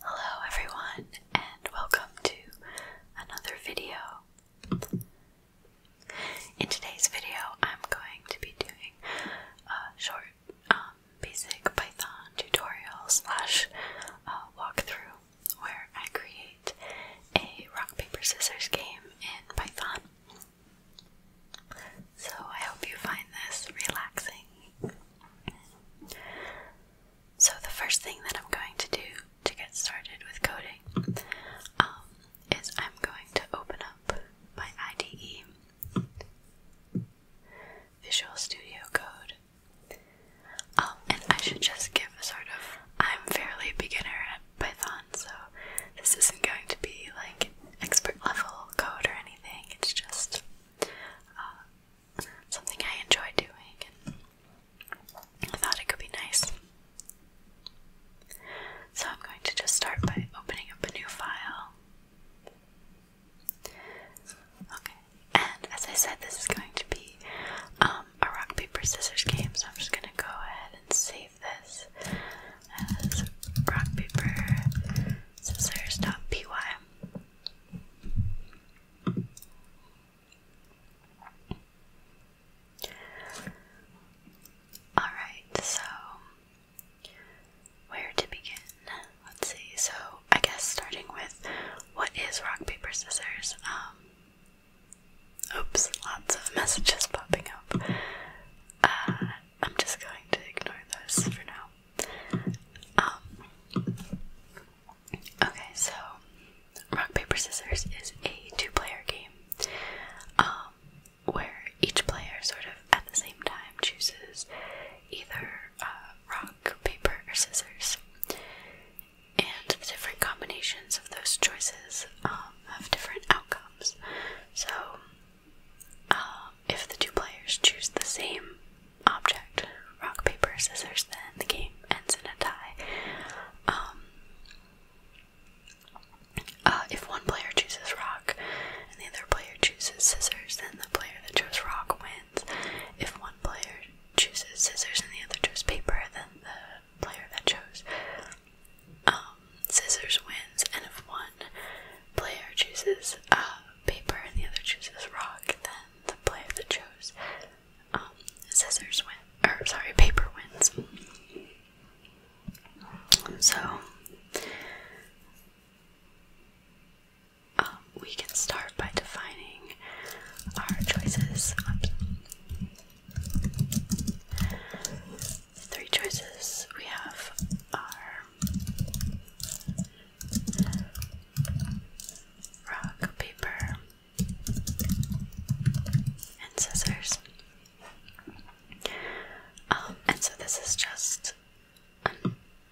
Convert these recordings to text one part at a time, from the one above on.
Hello everyone and welcome to another video. In today's video I'm going to be doing a short um, basic Python tutorial slash uh, walkthrough where I create a rock paper scissors game in Python. So I hope you find this relaxing. So the first thing that I'm going to do to get started with coding um, is I'm going to open up my IDE, Visual Studio Code. Um, and I should just give a sort of, I'm fairly beginner at Python, so this isn't going to be like expert level code or it's just uh, something I enjoy doing, I thought it could be nice. So I'm going to just start by opening up a new file. Okay, and as I said, this is going to be um, a rock, paper, scissors game, so I'm just going to go ahead and save this as rock, paper, Subsayers.py. Alright, so where to begin? Let's see. So, I guess starting with what is rock, paper, scissors? Um, oops, lots of messages popping up. Uh, I'm just going to ignore those for now. Um, okay, so rock paper scissors is a two-player game, um, where each player sort of at the same time chooses either uh, rock, paper, or scissors, and the different combinations of those choices um, have different outcomes. So uh, if the two players choose the same object, rock, paper, scissors, then the game ends in a tie. Um, uh, if one player chooses rock and the other player chooses scissors, then the player that chose rock wins. If one player chooses scissors and the other chose paper, then the player that chose scissors wins, and if one player chooses uh, paper and the other chooses rock, then the player that chose um, scissors wins. or sorry, paper wins. So um, we can start by defining our choices three choices we have are rock, paper, and scissors. Um, and so this is just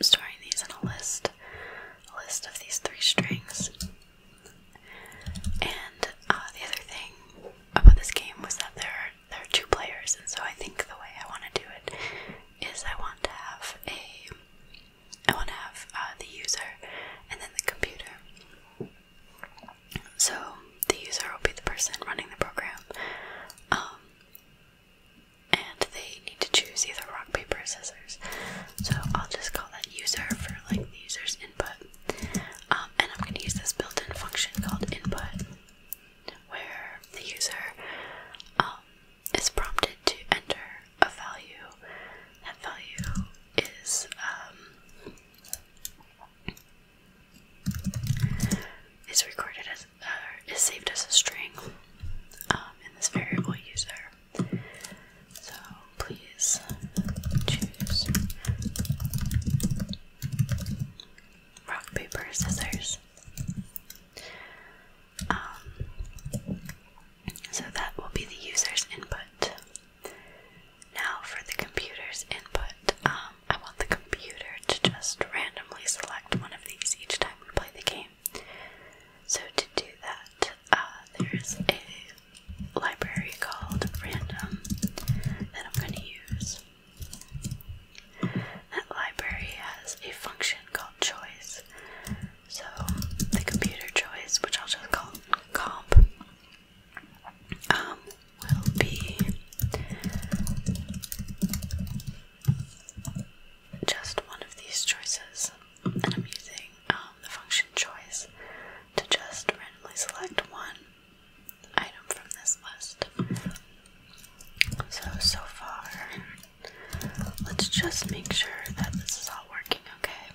storing these in a list, a list of these three strings. And uh, the other thing about this game was that there there are two players, and so I think the way I want to do it is I want to have a. I want to have uh, the user and then the computer. So the user will be the person running the program, um, and they need to choose either rock, paper, or scissors. So I'll just call that user for like the user's input, um, and I'm going to use this built-in function called input where the user um, is prompted to enter a value. That value is um, recorded as uh, is saved as a string um, in this variable user. So please choose rock, paper, scissors. Um, so that will be the user's input. Now for the computer's input, um, I want the computer to just randomly select one of these each time we play the game. So to do that, uh, there's a library called random that I'm going to use. That library has a function called choice. So the computer choice, which I'll just call comp, um, will be just one of these choices. And I'm using um, the function choice to just randomly select one item from this list. So, so far, let's just make sure that this is all working okay.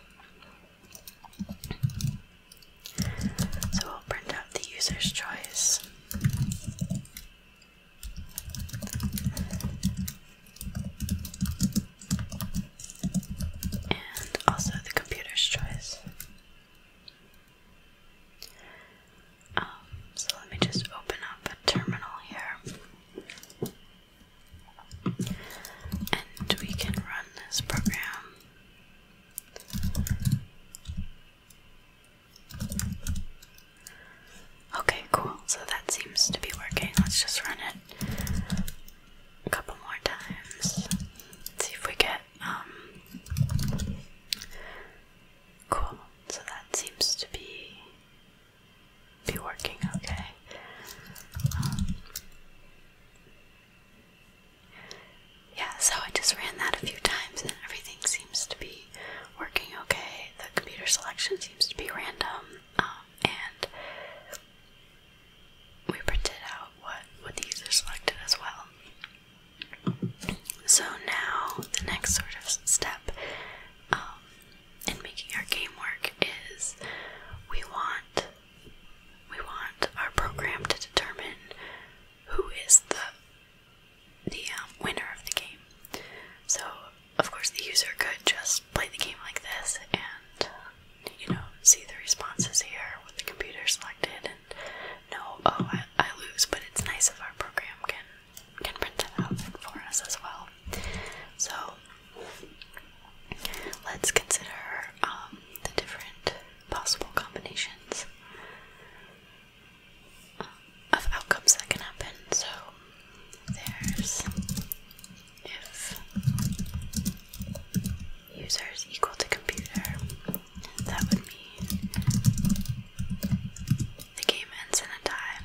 So, we'll print out the user's choice. And also the computer's choice. Um, so let me just open up a terminal here. And we can run this program. Okay, cool. So that seems to be working. Let's just run it a couple more times. see if we get um, cool. So that seems to be be working okay. Um, yeah, so I just ran that a few times and everything seems to be working okay. The computer selection seems to be random, um, and we printed out what, what the user selected as well. So now the next sort of step um, in making our game work is we want we want our program to determine who is the the um, winner of the game. So of course the user could just play the game like this and you know see the responses here with the computer selected no, oh, I, lose, but it's nice if our program can can print that out for us as well. So let's consider um, the different possible combinations um, of outcomes that can happen. So there's if users equal to computer, that would mean the game ends in a tie.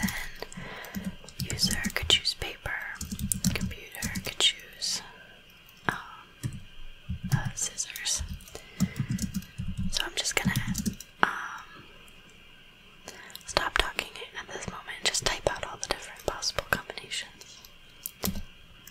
Then user could choose paper, computer could choose um, uh, scissors. So I'm just gonna um, stop talking at this moment and just type out all the different possible combinations.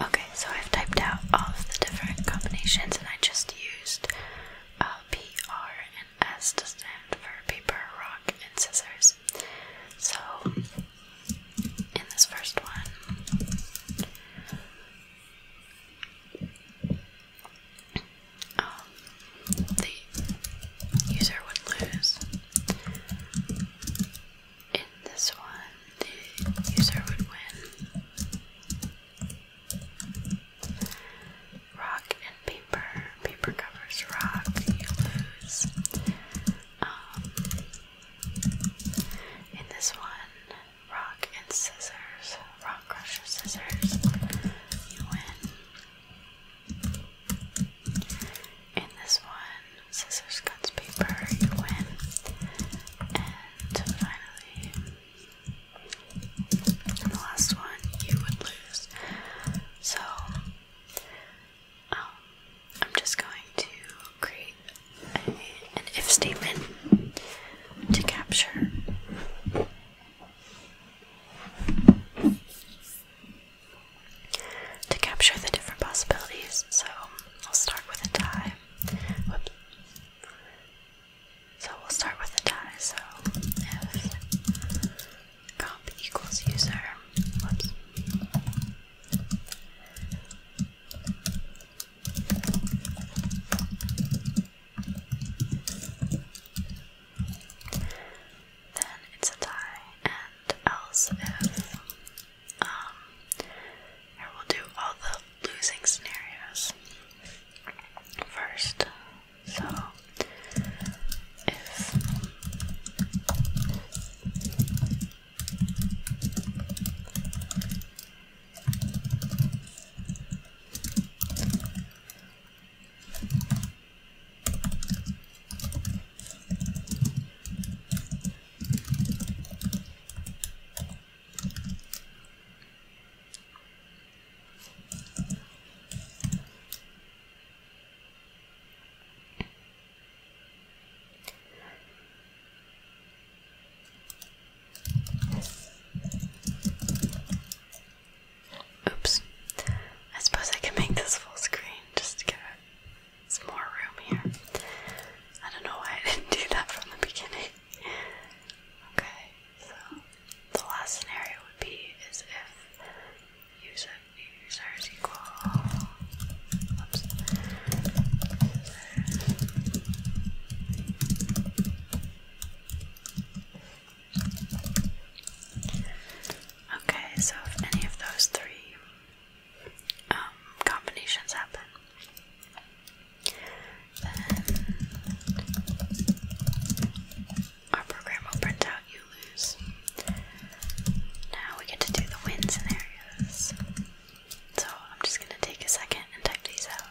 Okay, so I've typed out all of the different combinations and I just used uh, P, R, and S to stand for paper, rock, and scissors. So, in this first one, um, the user would lose. In this one, the user would win. Rock and paper. Paper covers rock. You lose. Um, in this one, rock and scissors. Rock, crusher, scissors. You win. In this one, scissors, cuts, paper. You win. And finally, and the last one you would lose. So, um, I'm just going to create an if statement to capture. To capture the different possibilities, so I'll start with a die. So we'll start with a die, so if comp equals user, whoops. Then it's a tie, and else if um, I will do all the losing scenarios first. So, if Oops. I suppose I can make this full screen just to give it some more room here. I don't know why I didn't do that from the beginning. Okay, so the last scenario would be is if user users equal oops, Okay, so if any of those three um, combinations happen, our program will print out you lose. Now we get to do the win scenarios. So I'm just going to take a second and type these out.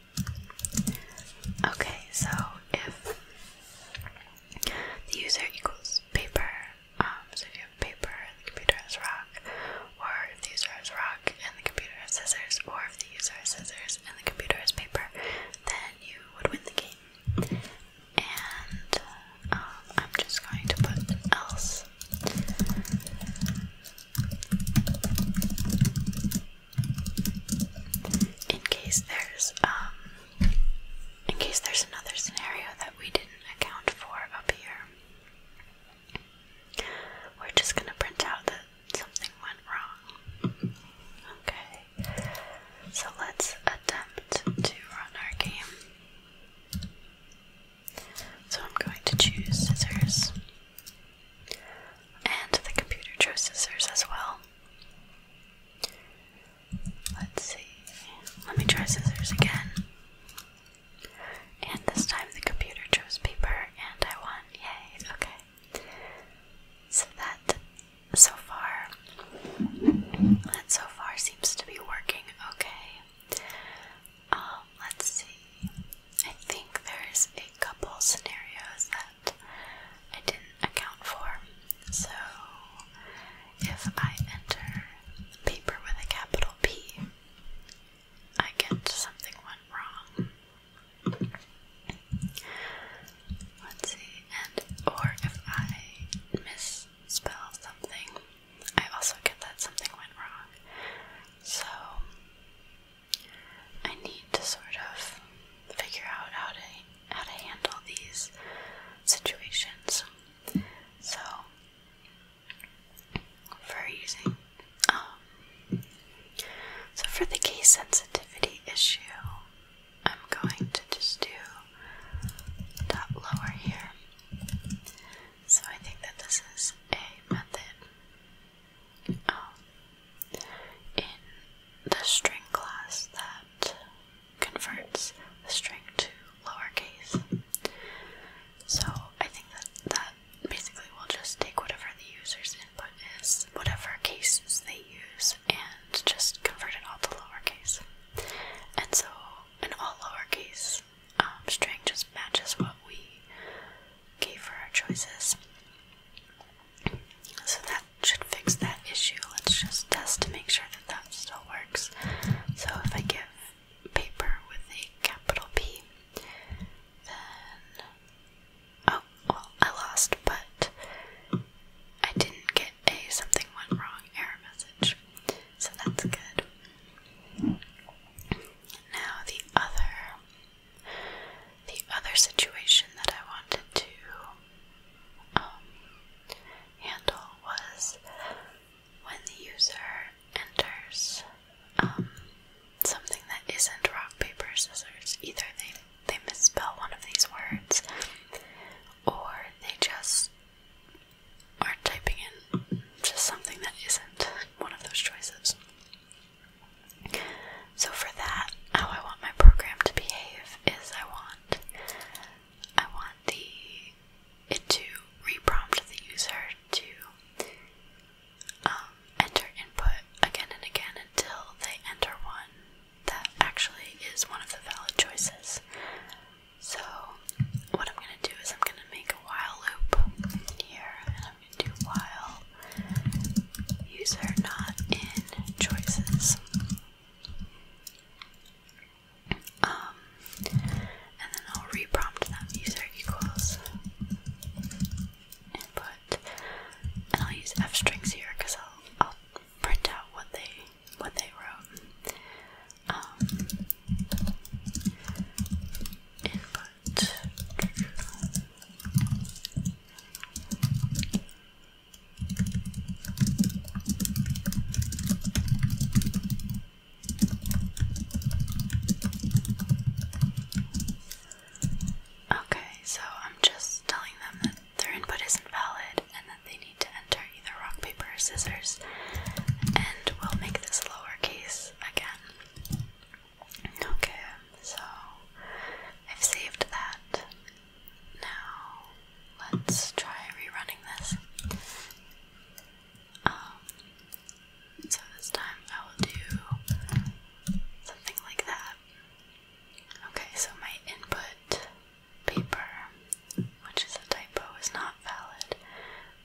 Okay, so if the user equals paper, um, so if you have paper and the computer has rock, or if the user has rock and the computer has scissors, or if the user has scissors and the computer has paper, then you would win the game. And uh, um, I'm just going to put else in case there's um in case there's another scenario that we didn't account for up here. We're just gonna print out that something went wrong. Okay. So let's attempt to run our game. So I'm going to choose scissors. And the computer chose scissors as well. Let's see. Let me try scissors again. And this time the computer chose paper and I won. Yay, okay. So that so far that so far seems to be working okay. Um, let's see. I think there's a couple scenarios that I didn't account for. So if I enter paper with a capital P, I get something went wrong. Let's see, and or if I misspell something, I also get that something went wrong. So I need to sort of figure out how to how to handle these situations. So for using um, so for the case sensitivity issue I'm going to just do that lower here. So I think that this is a method um, in the string class that converts the string to lowercase. So I think that that basically will just take whatever the user's input is, whatever cases they use, and just convert it all to lowercase. And so an all lowercase um, string just matches what we gave for our choices. So that should fix that issue. Let's just test to make sure that that still works. So if I give paper with a capital P, then. Oh, well, I lost, but I didn't get a something went wrong error message. So that's good. Now the other the other situation that I wanted to um, handle was when the user enters um, something that isn't rock, paper, scissors. Either they, they misspell one of these words or they just are typing in just something that isn't one of those choices. So for that, how I want my program to behave is I want I want the it to re-prompt the user to um, enter input again and again until they enter one that actually is one of the valid choices. So what I'm gonna do is I'm gonna make a while loop here to file user not in choices. Um, and then I'll reprompt them user equals input, and I'll use f strings here because I'll, I'll print out what they what they wrote. Um, input Okay, so I'm just telling them that their input isn't valid and that they need to enter either rock, paper, or scissors, and we'll make this lowercase again. Okay, so I've saved that. Now let's try rerunning this. Um, so this time I will do something like that. Okay, so my input paper, which is a typo, is not valid.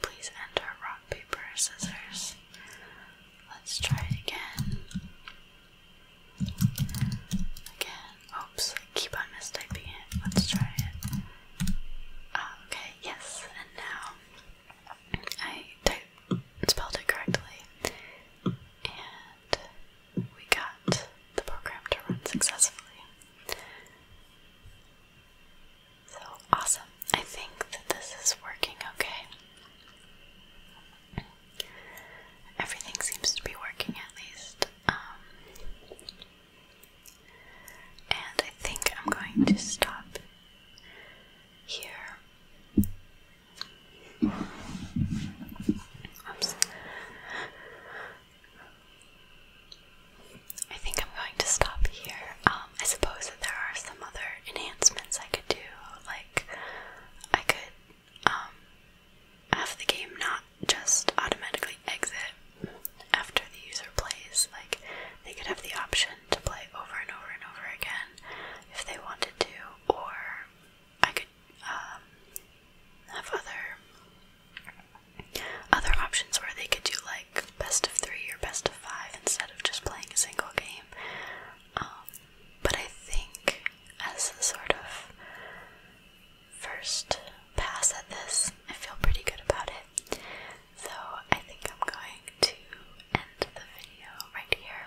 Please enter rock, paper, scissors. Let's try it again. Again. Oops, I keep on mistyping it. Let's try it. Ah, okay, yes, and now I type, spelled it correctly. And we got the program to run successfully. So awesome. I think that this is working okay. Everything seems to be working at least. Um, and I think I'm going to stop here. Oops. I think I'm going to stop here. Um, um, I suppose that there are some other enhancements I could do, like I could um, have the game not just automatically exit after the user plays. Like they could have the option to play over and over and over again if they wanted to, or I could um, have other other options where they could do like best of three or best of five instead of just playing a single game. Um, but I think as a sort of first pass at this, I feel pretty good about it. So I think I'm going to end the video right here.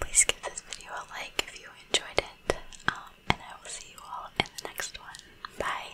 Please give this video a like if you enjoyed it, um, and I will see you all in the next one. Bye!